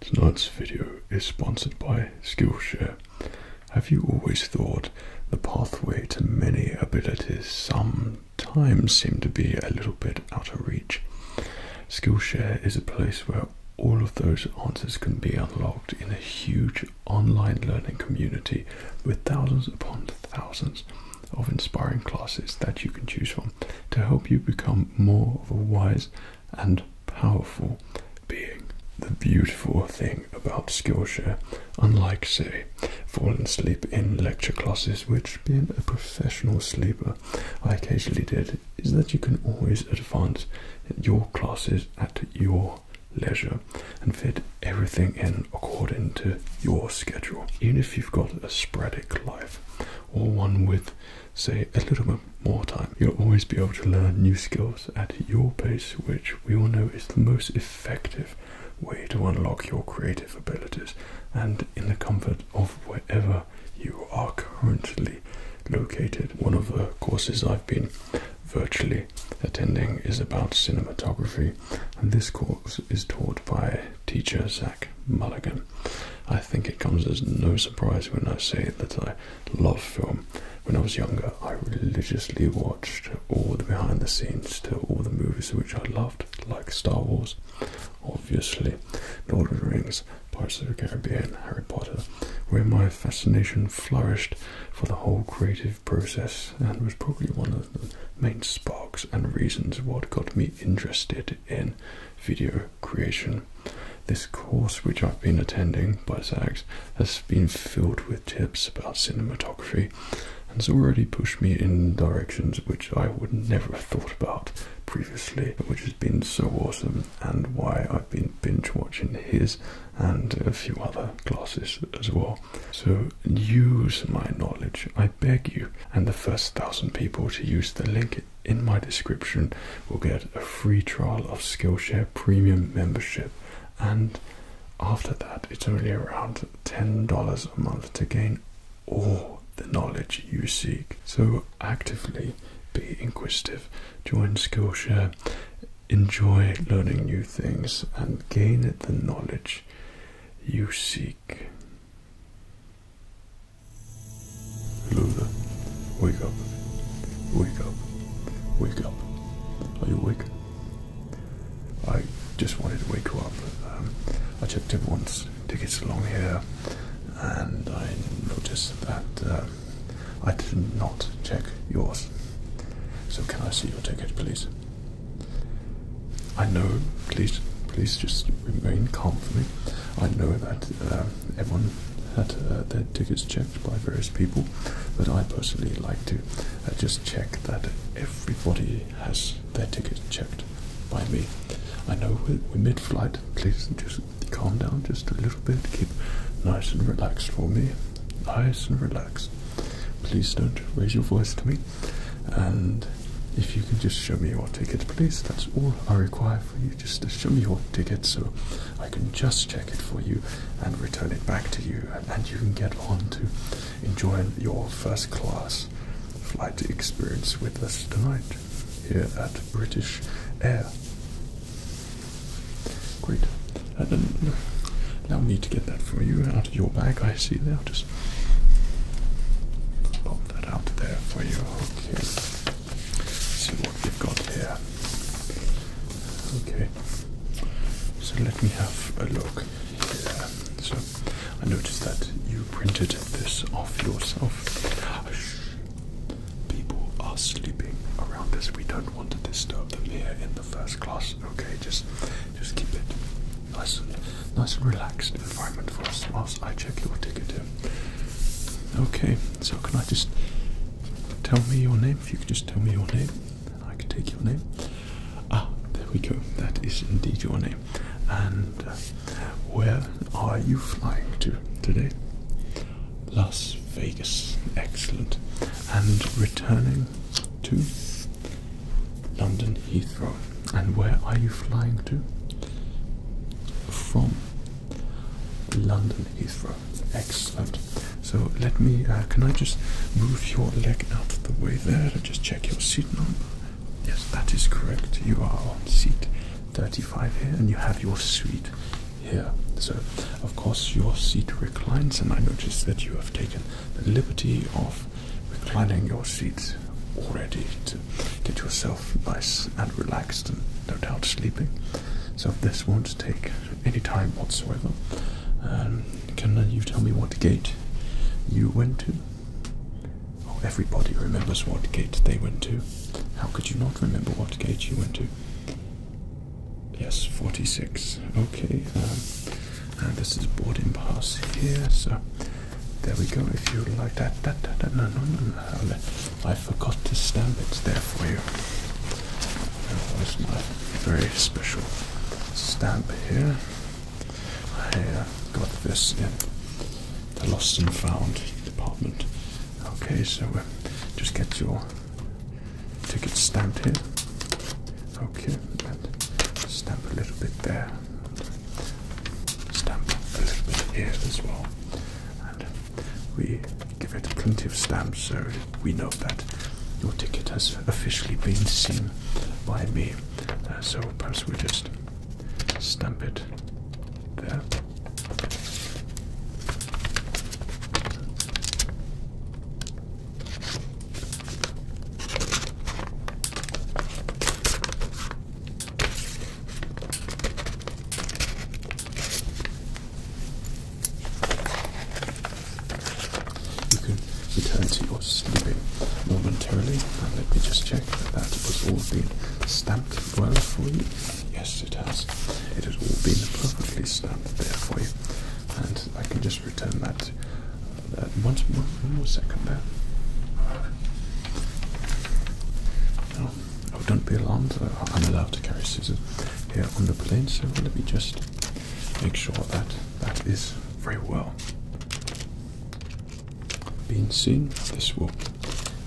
Tonight's video is sponsored by Skillshare. Have you always thought the pathway to many abilities sometimes seem to be a little bit out of reach? Skillshare is a place where all of those answers can be unlocked in a huge online learning community with thousands upon thousands of inspiring classes that you can choose from to help you become more of a wise and powerful being the beautiful thing about Skillshare, unlike, say, falling asleep in lecture classes, which being a professional sleeper I occasionally did, is that you can always advance your classes at your leisure and fit everything in according to your schedule. Even if you've got a sporadic life or one with say a little bit more time. You'll always be able to learn new skills at your pace, which we all know is the most effective way to unlock your creative abilities and in the comfort of wherever you are currently located. One of the courses I've been virtually attending is about cinematography, and this course is taught by teacher Zach Mulligan. I think it comes as no surprise when I say that I love film. When I was younger, I religiously watched all the behind the scenes to all the movies which I loved, like Star Wars, obviously, Lord of the Rings, Pirates of the Caribbean, Harry Potter, where my fascination flourished for the whole creative process and was probably one of the main sparks and reasons what got me interested in video creation. This course, which I've been attending by Zags, has been filled with tips about cinematography and has already pushed me in directions which I would never have thought about previously, which has been so awesome and why I've been binge watching his and a few other classes as well. So use my knowledge, I beg you, and the first thousand people to use the link in my description will get a free trial of Skillshare Premium membership, and after that, it's only around $10 a month to gain all the knowledge you seek. So, actively be inquisitive, join Skillshare, enjoy learning new things, and gain the knowledge you seek. Luna, wake up. Wake up. Wake up. Are you awake? I just wanted to wake you up. Um, I checked everyone's tickets along here and I noticed that um, I did not check yours. So can I see your ticket, please? I know, please, please just remain calm for me. I know that um, everyone had uh, their tickets checked by various people, but I personally like to uh, just check that everybody has their tickets checked by me. I know we're, mid-flight. Please just calm down just a little bit. Keep nice and relaxed for me. Nice and relaxed. Please don't raise your voice to me. And if you can just show me your tickets, please. That's all I require for you just show me your ticket so I can just check it for you and return it back to you, and, you can get on to enjoy your first class flight experience with us tonight here at British Air. Great. now then, me to get that for you out of your bag. I see there. Just pop that out there for you. Okay see what we've got here. Okay, so let me have a look So I noticed that you printed this off yourself. Shh. People are sleeping around this. We don't want to disturb them here in the first class. Okay, just just keep it nice and nice and relaxed environment for us whilst I check your ticket here. Okay, so can I just tell me your name? If you could just tell me your name, I can take your name. Ah, there we go. That is indeed your name. And uh, where are you flying to today? Las Vegas. Excellent. And returning to London Heathrow. And where are you flying to? From London Heathrow. Excellent. So let me, uh, can I just move your leg out of the way there just check your seat number? Yes, that is correct. You are on seat 35 here and you have your suite here. So, of course, your seat reclines, and I notice that you have taken the liberty of reclining your seat already to get yourself nice and relaxed and no doubt sleeping. So this won't take any time whatsoever. Um, can uh, you tell me what gate you went to? Oh, everybody remembers what gate they went to. How could you not remember what gate you went to? Yes, 46. Okay, um, this is boarding pass here, so there we go. If you like that, that, that, that, no, no, no, no. I forgot to stamp it there for you. There my very special stamp here. I uh, got this in the lost and found department. Okay, so uh, just get your ticket stamped here. Okay, stamp a little bit there. Stamp a little bit here as well. We give it a plenty of stamps so we know that your ticket has officially been seen by me. Uh, so perhaps we just stamp it there. You can return to your sleeping momentarily. And let me just check that that was all been stamped well for you. Yes, it has. It has all been perfectly stamped there for you. And I can just return that, uh, once more, one more second there. Oh, don't be alarmed. Uh, I'm allowed to carry scissors here on the plane, so let me just make sure that that is very well being seen. This will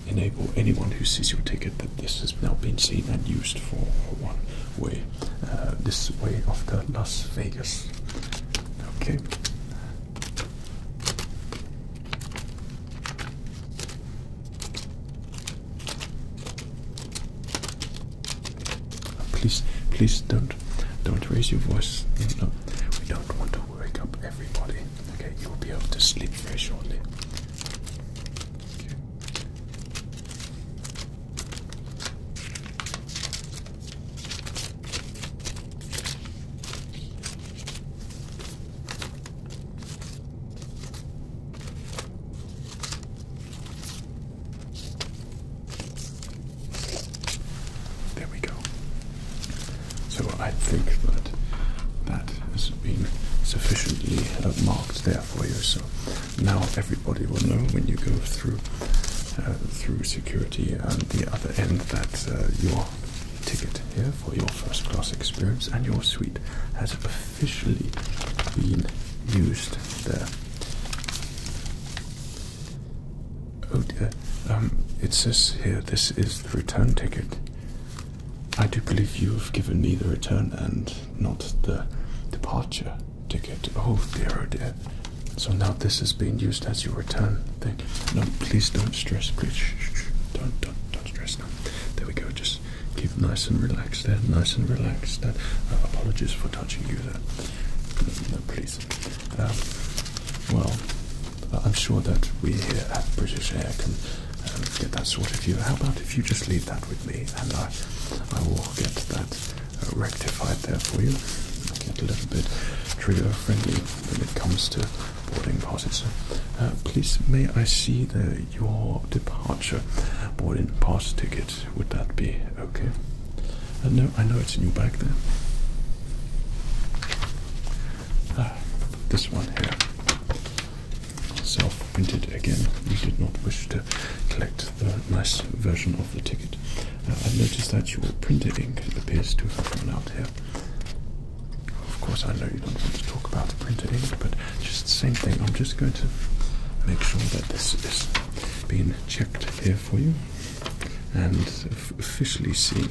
enable anyone who sees your ticket that this has now been seen and used for one way, uh, this way of the Las Vegas. Okay. Please, please don't, don't raise your voice. No, we don't want to wake up everybody. Okay, you will be able to sleep very shortly. There we go. So I think that that has been sufficiently uh, marked there for you. So now everybody will know when you go through uh, through security and the other end that uh, your ticket here for your first class experience, and your suite has officially been used there. Oh dear, um, it says here this is the return ticket. I do believe you have given me the return and not the departure ticket. Oh dear, oh dear. So now this is being used as your return thing. No, please don't stress. Please, don't, don't, don't stress now. There we go. Just Keep nice and relaxed there. Nice and relaxed. There. Uh, apologies for touching you there. No, please. Um, well, uh, I'm sure that we here at British Air can um, get that sorted for you. How about if you just leave that with me and I, I will get that uh, rectified there for you. Get a little bit trigger friendly when it comes to boarding passes. Uh, please, may I see the, your departure boarding pass ticket? Would that be okay? Uh, no, I know it's in your bag there. Uh, this one here. Self printed again. You did not wish to collect the nice version of the ticket. Uh, I've noticed that your printer ink appears to have run out here. Of course, I know you don't want to talk about the printed ink, but just the same thing. I'm just going to make sure that this is being checked here for you and officially seen.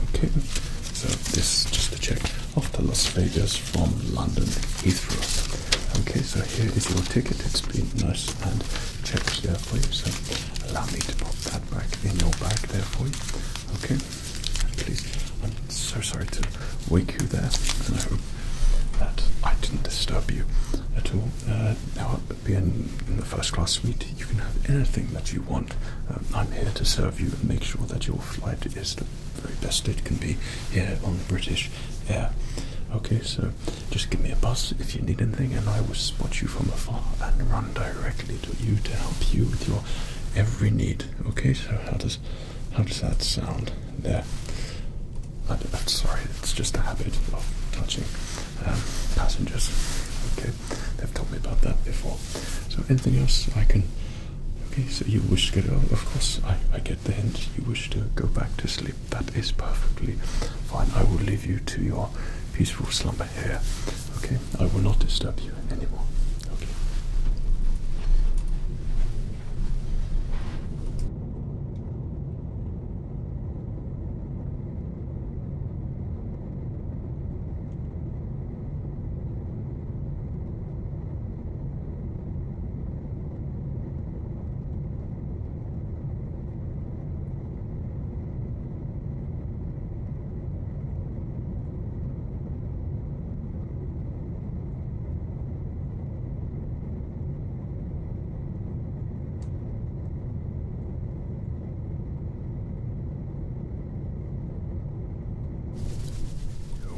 Okay, so this is just a check of the Las Vegas from London Heathrow. Okay, so here is your ticket. It's been nice and check there for you. So allow me to put that back in your bag there for you. Okay. Please. I'm so sorry to wake you there. I that I didn't disturb you at all. Uh, now, being in the first class suite, you can have anything that you want. Um, I'm here to serve you and make sure that your flight is the very best it can be here on British Air. Okay, so just give me a buzz if you need anything, and I will spot you from afar and run directly to you to help you with your every need. Okay, so how does how does that sound? There. I, am sorry, it's just a habit of touching um, passengers. Okay, they've told me about that before. So anything else I can? Okay, so you wish to get Of course, I I get the hint. You wish to go back to sleep that is perfectly fine. I will leave you to your peaceful slumber here. Okay, I will not disturb you anymore. Okay.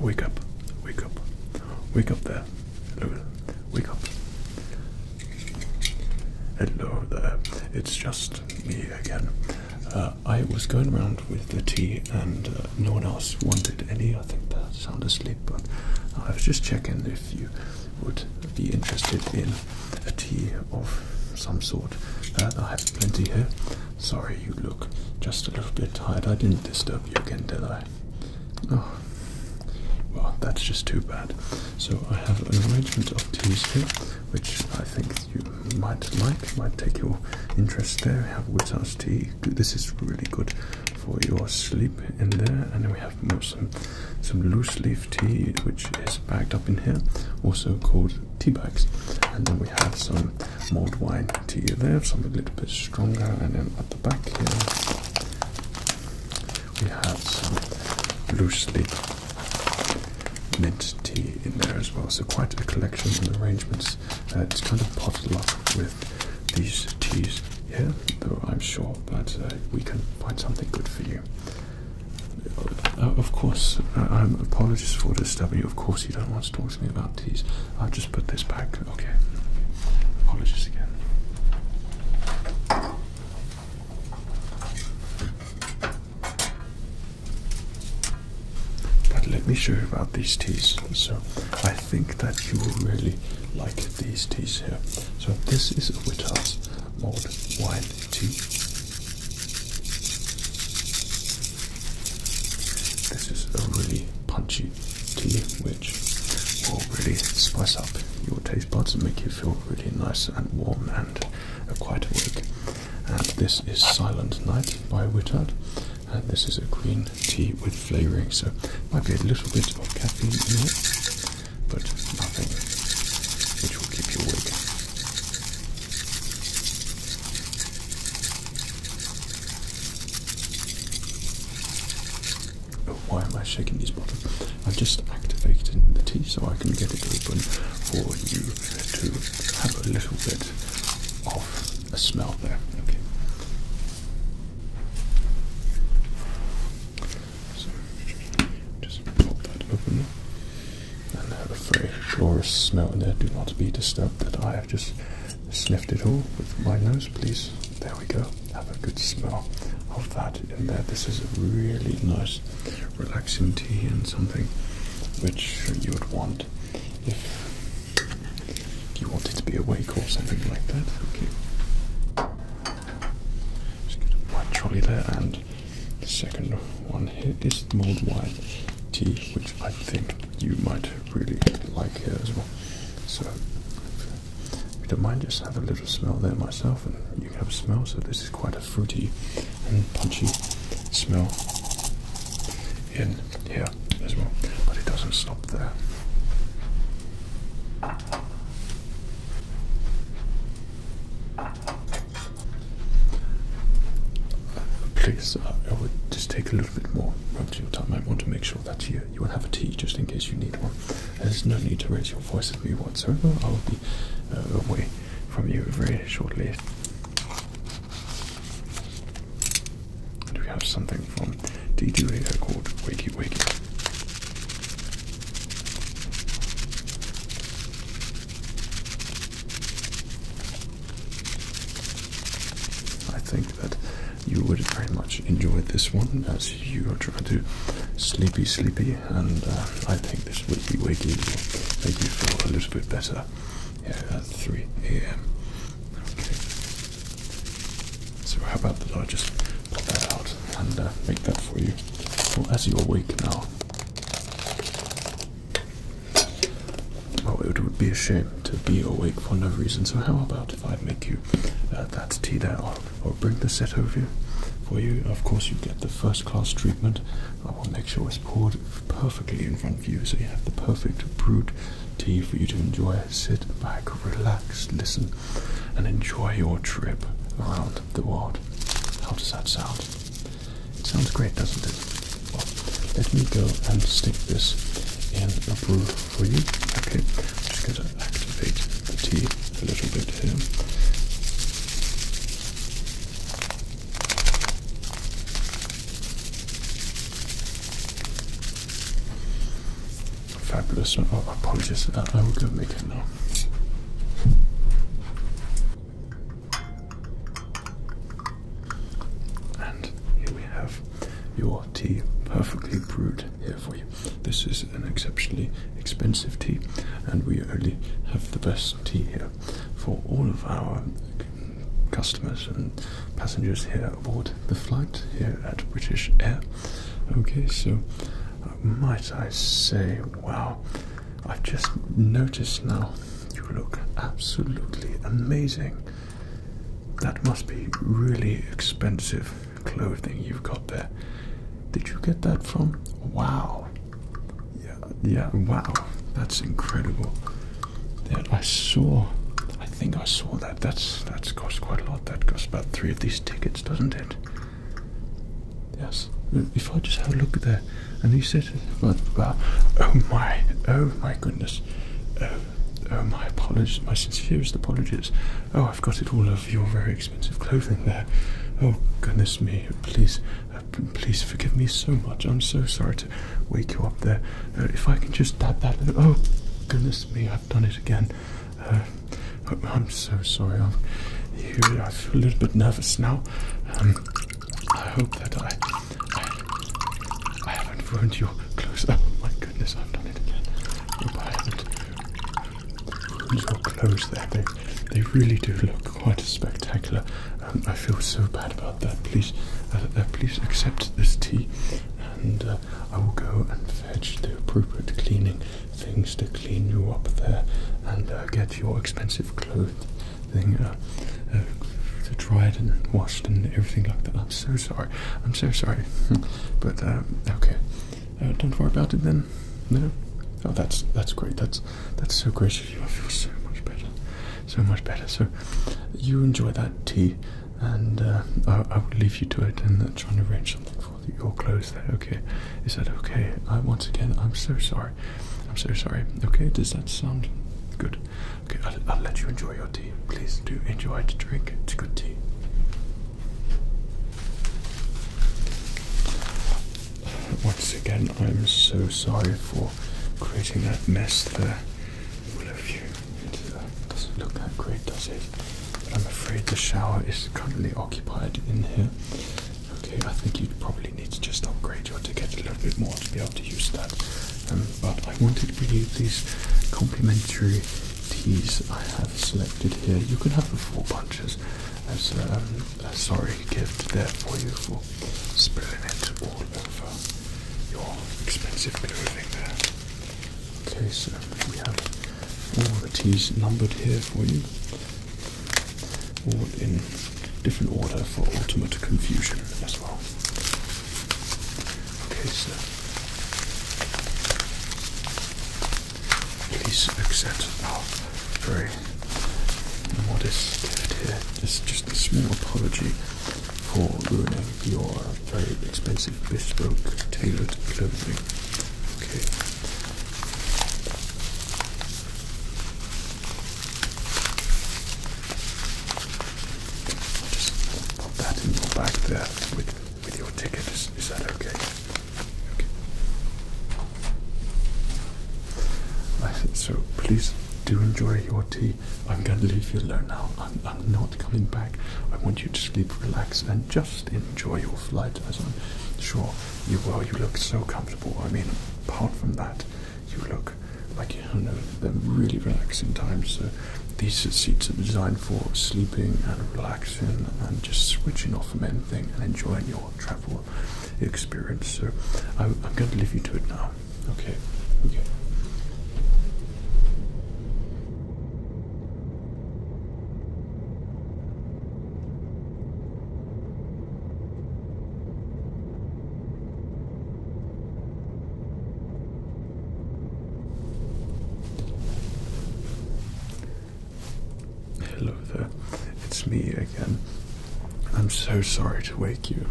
Wake up, wake up, wake up there. Hello. Wake up. Hello there. It's just me again. Uh, I was going around with the tea and uh, no one else wanted any. I think they're sound asleep, but I was just checking if you would be interested in a tea of some sort. Uh, I have plenty here. Sorry, you look just a little bit tired. I didn't disturb you again, did I? Oh, well, that's just too bad. So I have an arrangement of teas here, which I think you might like, might take your interest there. We have Wittars tea. This is really good for your sleep in there. And then we have some, some loose leaf tea, which is packed up in here, also called tea bags. And then we have some mulled wine tea there, some a little bit stronger. And then at the back here, we have some loosely mint tea in there as well. So quite a collection of arrangements. Uh, it's kind of bottled up with these teas here, though I'm sure that uh, we can find something good for you. Uh, of course, I'm uh, um, apologies for disturbing you. Of course, you don't want to talk to me about these. I'll just put this back Okay. Apologies again. But let me show you about these teas. So I think that you will really like these teas here. So this is a Wittars mulled wine tea. This is a really punchy tea with which will really spice up your taste buds and make you feel really nice and warm and quite awake. And this is Silent Night by Wittard, and this is a green tea with flavouring, so might be a little bit of caffeine in it, but nothing which will keep you awake. Oh, why am I shaking these bottles? I've just activated the tea so I can get it open for you to have a little bit of a smell there. Okay. just pop that open and have a very glorious smell there. Do not be disturbed that I have just sniffed it all with my nose, please. There we go. Have a good smell of that in there. This is a really nice, relaxing tea and something which you would want if you wanted to be awake or something like that. Okay. Just get a white trolley there, and the second one here is mulled white tea, which I think you might really like here as well. So if you don't mind, just have a little smell there myself, and you have a smell. So this is quite a fruity and punchy smell in here as well, but it doesn't stop there. Please, uh, I would just take a little bit more of your time. I want to make sure that you you will have a tea just in case you need one. There's no need to raise your voice at me whatsoever. I'll be uh, away from you very shortly. Do we have something from DJ Radio called Wakey Wakey. I think that you would very much enjoy this one as you are trying to sleepy, sleepy, and uh, I think this wakey wakey will make you feel a little bit better. Yeah, at 3 a.m. Okay. So how about that I just that out and uh, make that for you? Well, as you awake now. Well, it would be a shame to be awake for no reason. So how about if I make you uh, that tea there, I'll, bring the set over you for you. Of course, you get the first class treatment. I will make sure it's poured perfectly in front of you so you have the perfect brewed tea for you to enjoy. Sit back, relax, listen, and enjoy your trip around the world. How does that sound? It sounds great, doesn't it? let me go and stick this in a brew for you. Okay, just going activate the teeth a little bit here. Fabulous. Oh, apologies, uh, I will go make it now. And here we have your tea perfectly brewed here for you. This is an exceptionally expensive tea, and we only have the best tea here for all of our customers and passengers here aboard the flight here at British Air. Okay, so uh, might I say, wow, I've just noticed now you look absolutely amazing. That must be really expensive clothing you've got there. Did you get that from? Wow. Yeah, yeah, wow. That's incredible. That I saw I think I saw that. That's that's cost quite a lot. That costs about three of these tickets, doesn't it? Yes. If I just have a look there, and he said, well, uh, oh my, oh my goodness, oh, oh my apologies, my sincerest apologies. Oh, I've got it all of your very expensive clothing there. Oh, goodness me. Please, uh, please forgive me so much. I'm so sorry to wake you up there. Uh, if I can just dab that. Oh, goodness me, I've done it again. Uh, I'm so sorry. I'm, you, I feel a little bit nervous now. Um, I hope that I, I, haven't ruined your clothes. Oh my goodness, I've done it again. Look close there. They, they really do look quite spectacular. Um, I feel so bad about that. Please, uh, uh, please accept this tea, and uh, I will go and fetch the appropriate cleaning things to clean you up there, and get your expensive clothes thing uh, dried and washed and everything like that. I'm so sorry. I'm so sorry. but um, okay. Uh, don't worry about it then. No. Oh, that's that's great. That's that's so gracious. You I feel so much better, so much better. So, you enjoy that tea, and uh, I, will leave you to it and uh, try and arrange something for your clothes. There, okay? Is that okay? once again, I'm so sorry. I'm so sorry. Okay, does that sound good? Okay, I'll, let you enjoy your tea. Please do enjoy it. drink. It's a good tea. Once again, I'm so sorry for creating that mess there. All uh, doesn't look that great, does it? I'm afraid the shower is currently occupied in here. Okay, I think you probably need to just upgrade your ticket a little bit more to be able to use that. Um, but I wanted to give you these complimentary these I have selected here. You can have the four punches as um, a sorry gift there for you for spilling it all over your expensive clothing there. Okay, so we have all the tees numbered here for you, all in different order for ultimate confusion as well. Okay, so Please accept our very modest gift here. It's just a small apology for ruining your very expensive bespoke tailored clothing. Okay. just pop that in your bag there with with your ticket. Is, that okay? Okay. said so please do enjoy your tea. I'm going to leave you alone now. I'm, I'm not coming back. I want you to sleep, relax, and just enjoy your flight, as I'm sure you will. You look so comfortable. I mean, apart from that, you look like you know they're really relaxing times. So these seats are designed for sleeping and relaxing and just switching off from anything and enjoying your travel experience. So I'm, I'm going to leave you to it now. Okay. Okay. Hello there, it's me again. I'm so sorry to wake you,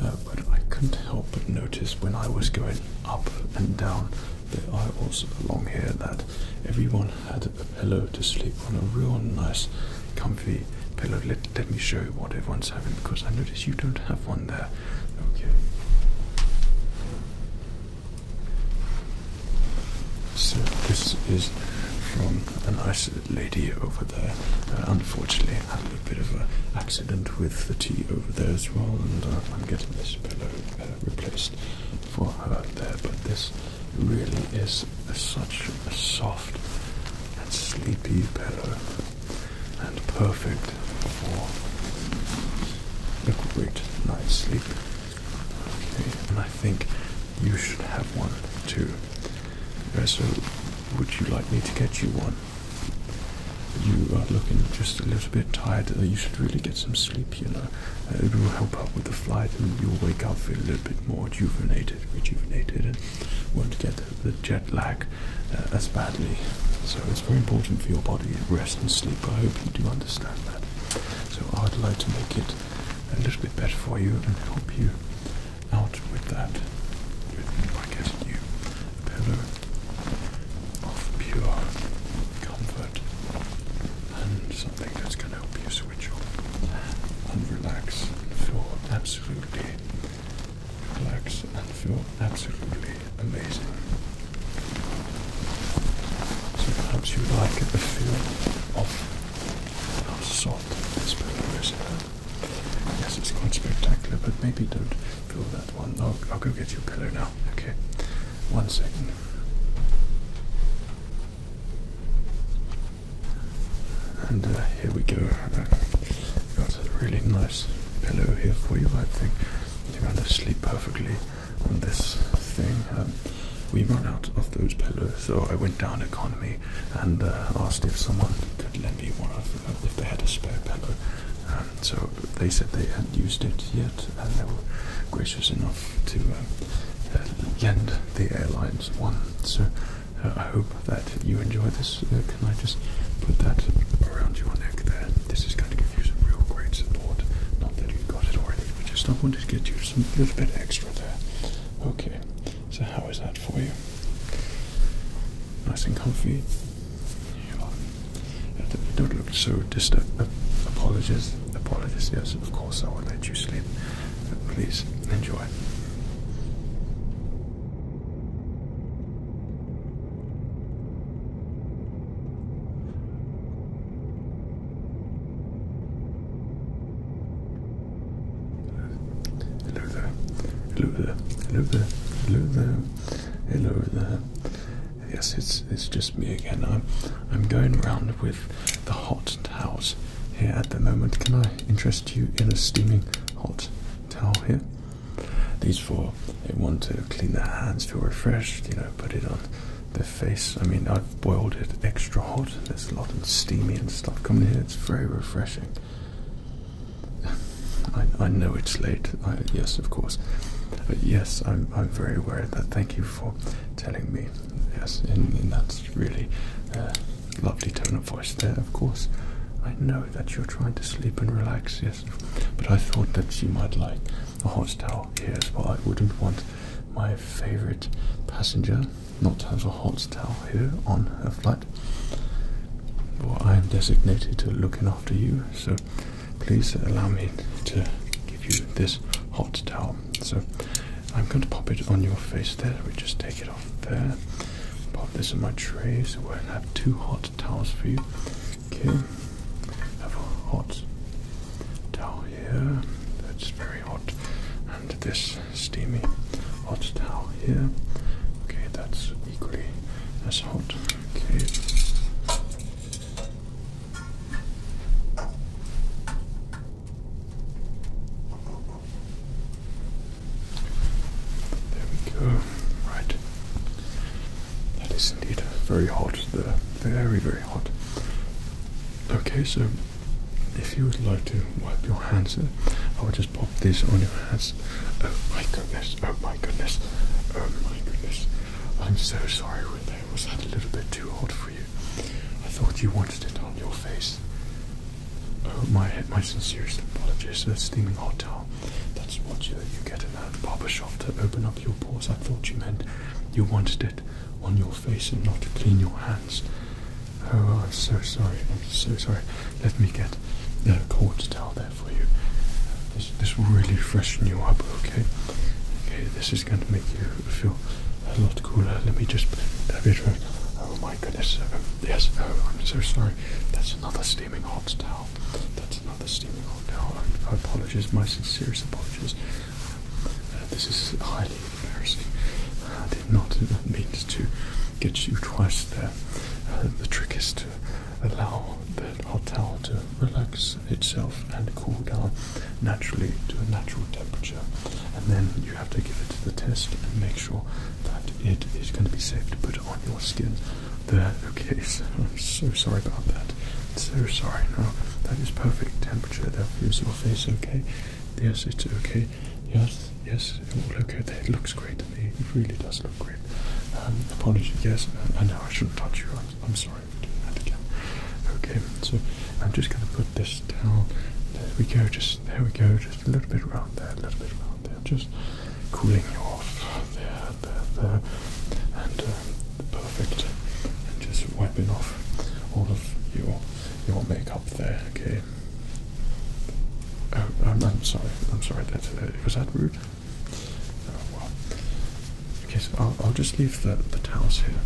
uh, but I couldn't help but notice when I was going up and down that I aisles along here that everyone had a pillow to sleep on, a real nice, comfy pillow. Let, let me show you what everyone's having because I notice you don't have one there. Okay. So this is from a nice lady over there. Uh, unfortunately, I had a bit of an accident with the tea over there as well, and uh, I'm getting this pillow uh, replaced for her there. But this really is such a soft and sleepy pillow, and perfect for a great night's sleep and I think you should have one too. So, would you like me to get you one? You are looking just a little bit tired. You should really get some sleep, you know. Uh, it will help out with the flight, and you'll wake up feeling a little bit more rejuvenated, rejuvenated, and won't get the jet lag uh, as badly. So, it's very important for your body to rest and sleep. I hope you do understand that. So I would like to make it a little bit better for you and help you out with that by getting you a pillow of pure comfort and something that's going to help you switch off and relax and feel absolutely relax and feel absolutely amazing. So perhaps you would like the feel of how soft this pillow is here. Yes, it's quite spectacular, but maybe don't feel that one. I'll, I'll go get you a pillow now. Okay, one second. And uh, here we go. got a really nice pillow here for you. I think you're going to sleep perfectly on this thing. Um, we ran out of those pillows, so I went down economy and uh, asked if someone could lend me one uh, if they had a spare pillow. Um, so they said they hadn't used it yet, and they were gracious enough to um, uh, lend the airlines one. So I hope that you enjoy this. can I just put that around your neck there? This is going to give you some real great support. Not that you got it already, but just I wanted to get you some little bit extra there. Okay, so how is that for you? Nice and comfy. don't look so distant. Uh, uh, apologies, apologies. Yes, of course I will let you sleep. please enjoy. Hello there. Hello there. Hello there. Hello there. Hello there. Yes, it's it's just me again. I'm I'm going round with the hot towels here at the moment. Can I interest you in a steaming hot towel here? These four they want to clean their hands, feel refreshed, you know, put it on their face. I mean, I've boiled it extra hot. There's a lot of steamy and stuff coming in. It's very refreshing. I, I know it's late. yes, of course. yes, I'm, I'm very aware of that. Thank you for telling me. Yes, and, that's really uh, lovely tone of voice there, of course. I know that you're trying to sleep and relax, yes, but I thought that you might like a hot towel here's what I wouldn't want my favorite passenger not to have a hot towel here on her flight. Well, I am designated to looking after you, so please allow me to give you this hot towel. So I'm going to pop it on your face there. We just take it off there. Pop this in my tray so we'll have two hot towels for you. Okay, have a hot towel here. That's very hot, and this steamy hot towel here. Okay, that's equally as hot. Okay. There we go. Right. That is indeed very hot there. Very, very hot. Okay, so if you would like to wipe your hands, uh, I will just pop this on your hands. Oh my goodness, oh my goodness, oh my goodness. I'm so sorry, Was that a little bit too hot for you? I thought you wanted it on your face. Oh, my my sincerest apologies. A steaming hot That's what you, you get in a barber shop to open up your pores. I thought you meant you wanted it on your face and not to clean your hands. Oh, I'm so sorry. I'm so sorry. Let me get a cold towel there for you. This, this will really freshen you up, okay? Okay, this is going to make you feel a lot cooler. Let me just dab it around. Oh my goodness. Oh, yes, oh, I'm so sorry. That's another steaming hot towel. That's another steaming hot towel. I, I apologize, my sincerest apologies. Uh, this is highly embarrassing. I did not mean to get you twice there. Uh, the trick is to allow the hotel to relax itself and cool down naturally to a natural temperature, and then you have to give it the test and make sure that it is going to be safe to put on your skin. There, okay, so sorry about that. So sorry. No, that is perfect temperature. That is your face okay? Yes, it's okay. Yes, yes, all okay. There. It looks great to me. It really does look great. Um, apologies. Yes, I, know I shouldn't touch you. I'm, sorry for doing that again. Okay, so I'm just going to put this down. There we go. Just there we go. Just a little bit around there. A little bit around there. Just cooling you off. There, there, there, and. Um, perfect and just wiping off all of your your makeup there, okay? Oh, I'm, sorry, I'm sorry, that, uh, was that rude? Oh, okay, so I'll, I'll just leave the, the towels here.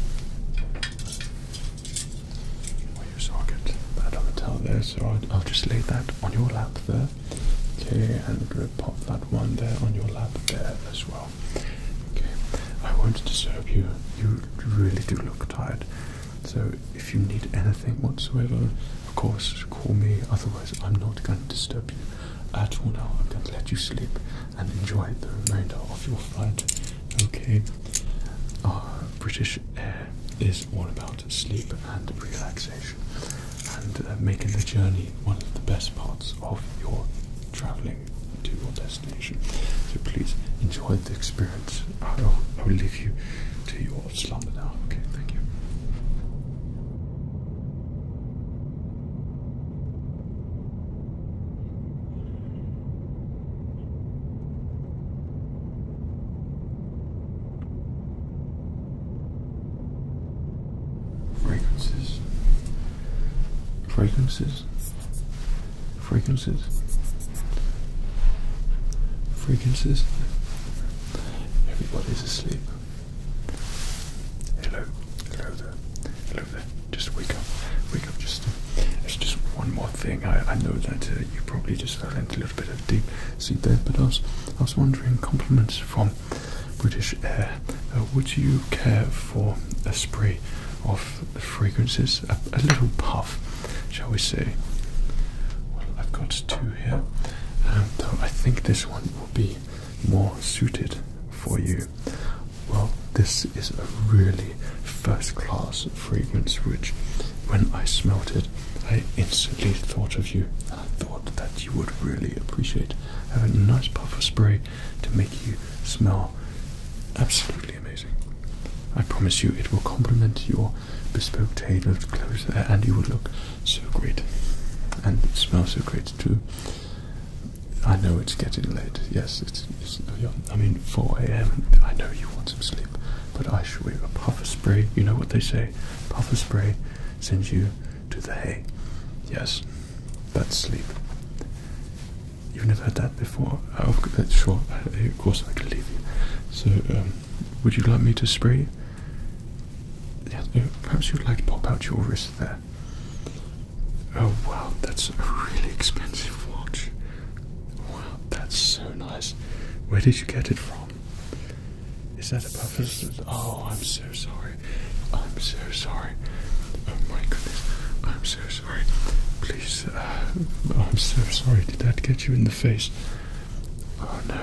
Well, you saw get that other towel there, so I'll, I'll just lay that on your lap there. Okay, and pop that one there on your lap there as well. Okay, I won't disturb you. You really do look tired. So if you need anything whatsoever, of course, call me. Otherwise, I'm not going to disturb you at all now. I'm going to let you sleep and enjoy the remainder of your flight. Okay. Uh, British Air is all about sleep and relaxation and uh, making the journey one of the best parts of your traveling to your destination. So please enjoy the experience. I'll, I'll leave you to your slumber now. Okay, thank you. Fragrances. Fragrances. Fragrances. Fragrances. Everybody's asleep. Hello. Hello there. Hello there. Just wake up. Wake up. Just. It's just one more thing. I, I know that uh, you probably just fell into a little bit of deep sleep there, but I was, I was wondering compliments from British Air. Uh, would you care for a spray of the fragrances? A, little puff, shall we say? Well, I've got two here, um, I think this one will be more suited for you. Well, this is a really first class fragrance, which when I smelt it, I instantly thought of you and I thought that you would really appreciate having a nice puff of spray to make you smell absolutely amazing. I promise you it will complement your bespoke tailored clothes uh, and you will look so great and smell so great too. I know it's getting late. Yes, it's, it's I mean 4 a.m. I know you want some sleep, but I assure you a puffer spray, you know what they say, puffer spray sends you to the hay. Yes, that's sleep. You've never had that before? Oh, sure, of course I can leave you. So, um, would you like me to spray you? perhaps you'd like to pop out your wrist there. Oh wow, that's a really expensive watch. Wow, that's so nice. Where did you get it from? Is that a purpose? Oh, I'm so sorry. I'm so sorry. Oh my goodness. I'm so sorry. Please, uh, I'm so sorry. Did that get you in the face? Oh no.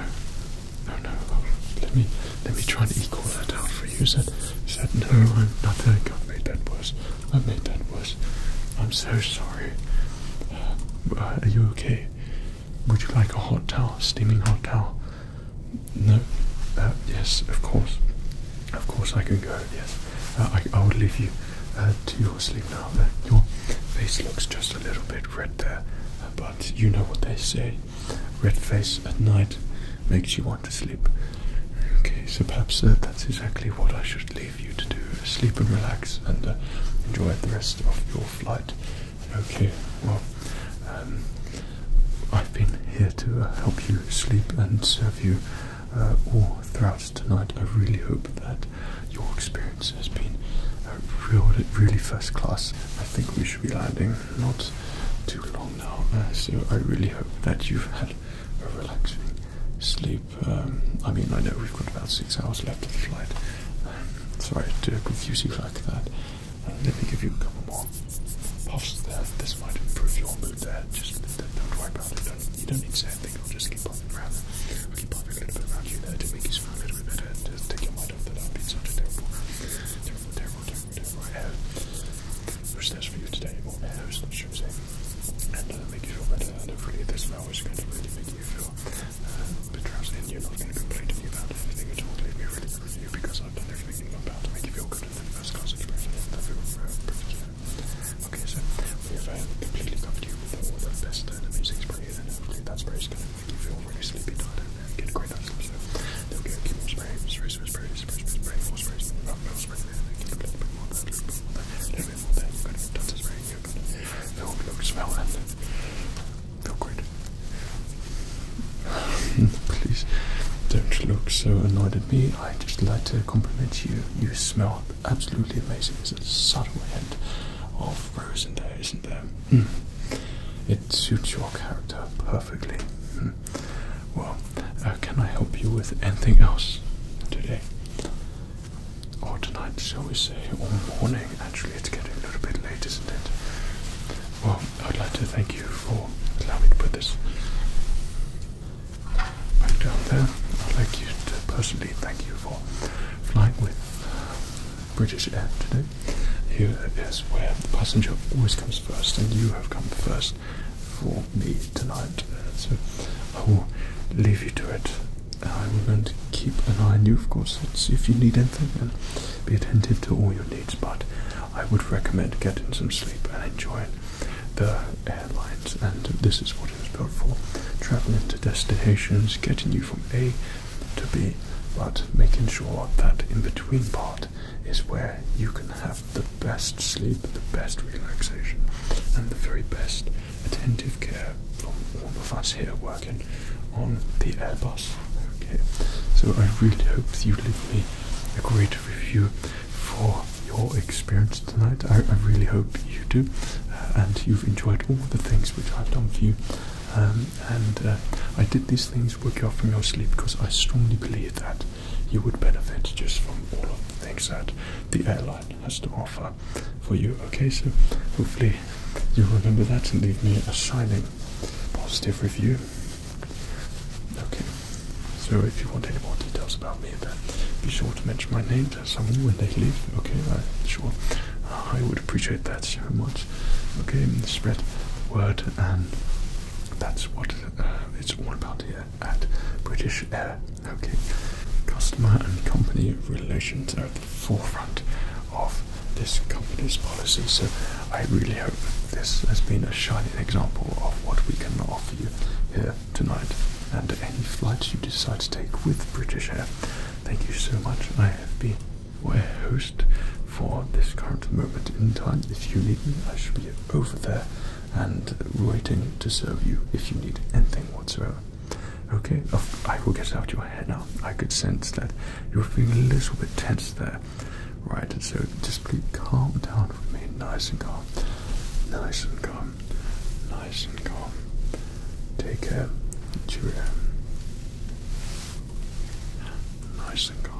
No, no. Oh, let me let me try and equal that out for you. Is that, is that no? I'm not. I think I made that worse. I made that worse. I'm so sorry. Uh, are you okay? Would you like a hot towel? Steaming hot towel? No. Uh, yes, of course. Of course, I can go. Yes. Uh, I, I would leave you uh, to your sleep now. your face looks just a little bit red there, but you know what they say. Red face at night makes you want to sleep. Okay, so perhaps that's exactly what I should leave you to do. Sleep and relax and enjoy the rest of your flight. Okay, well, um, I've been here to uh, help you sleep and serve you uh, all throughout tonight. I really hope that your experience has been uh, really first class. I think we should be landing not too long now, uh, so I really hope that you've had a relaxing sleep. Um, I mean, I know we've got about six hours left of the flight. Um, sorry to confuse you like that. let me give you a couple more Past that, this might improve your mood there. Just don't worry about it. Don't, you don't need to say anything. I'll just keep popping around. I'll keep popping a little bit around you there to make you smile a little bit better. To take your mind off that I've been such a terrible, terrible, terrible, terrible, terrible hair. Which there's for you today. More hairs, I should say. And uh, make you feel better. And hopefully, this now is going to really make you feel uh, a bit drowsy and you're not going to complain to me about anything at all. Leave me really good with you because I've done everything about to make you feel good. Okay, so we have completely covered you with all the best and amazing sprays, and hopefully that spray is going to make you feel really sleepy, tired, get a great night's sleep. So, okay, keep more spray, spray, spray, spray, spray, spray, spray, more spray, more spray, more spray, keep a little bit more there, a little bit more there, a little bit more there. You've got to touch the spray, you're going to feel, look, smell, and feel great. Please don't look so annoyed at me. I just like to compliment you. You smell absolutely amazing. It's a subtle hint of rose in there, isn't there? Hmm. It suits your character perfectly. Hmm. Well, uh, can I help you with anything else today? Or tonight, shall we say, or morning? Actually, it's getting a little bit late, isn't it? Well, I would like to thank you for allowing me to put this back down there. I'd like you to personally thank you for flying with uh, British Air today. Here uh, is where the passenger always comes first, and you have come first for me tonight. so I will leave you to it. i will going keep an eye on you, of course, and see if you need anything, and be attentive to all your needs. But I would recommend getting some sleep and enjoying the airlines. And this is what it was built for traveling to destinations, getting you from A to B, but making sure that in between part is where you can have the best sleep, the best relaxation, and the very best attentive care from all of us here working on the Airbus. so I really hope you leave me a great review for your experience tonight. I, really hope you do uh, and you've enjoyed all the things which I've done for you. Um, and uh, I did these things work out from your sleep because I strongly believe that you would benefit just from all of the things that the airline has to offer for you. Okay, so hopefully you remember that and leave me a shining positive review. Okay, so if you want any more details about me, then be sure to mention my name to someone when they leave. Okay, I'm sure I would appreciate that so much. Okay, spread word, and that's what uh, it's all about here at British Air. Okay, customer and company relations are at the forefront of this company's policy, so I really hope this has been a shining example of what we can offer you here tonight and any flights you decide to take with British Air. Thank you so much. I have been your host for this current moment in time. If you need me, I shall be over there and waiting to serve you if you need anything whatsoever. Okay, oh, I will get out your hair now. I could sense that you were feeling a little bit tense there. Right, so just please calm down with me. Nice and calm. Nice and calm. Nice and calm. Take care. Cheerio. Nice and calm.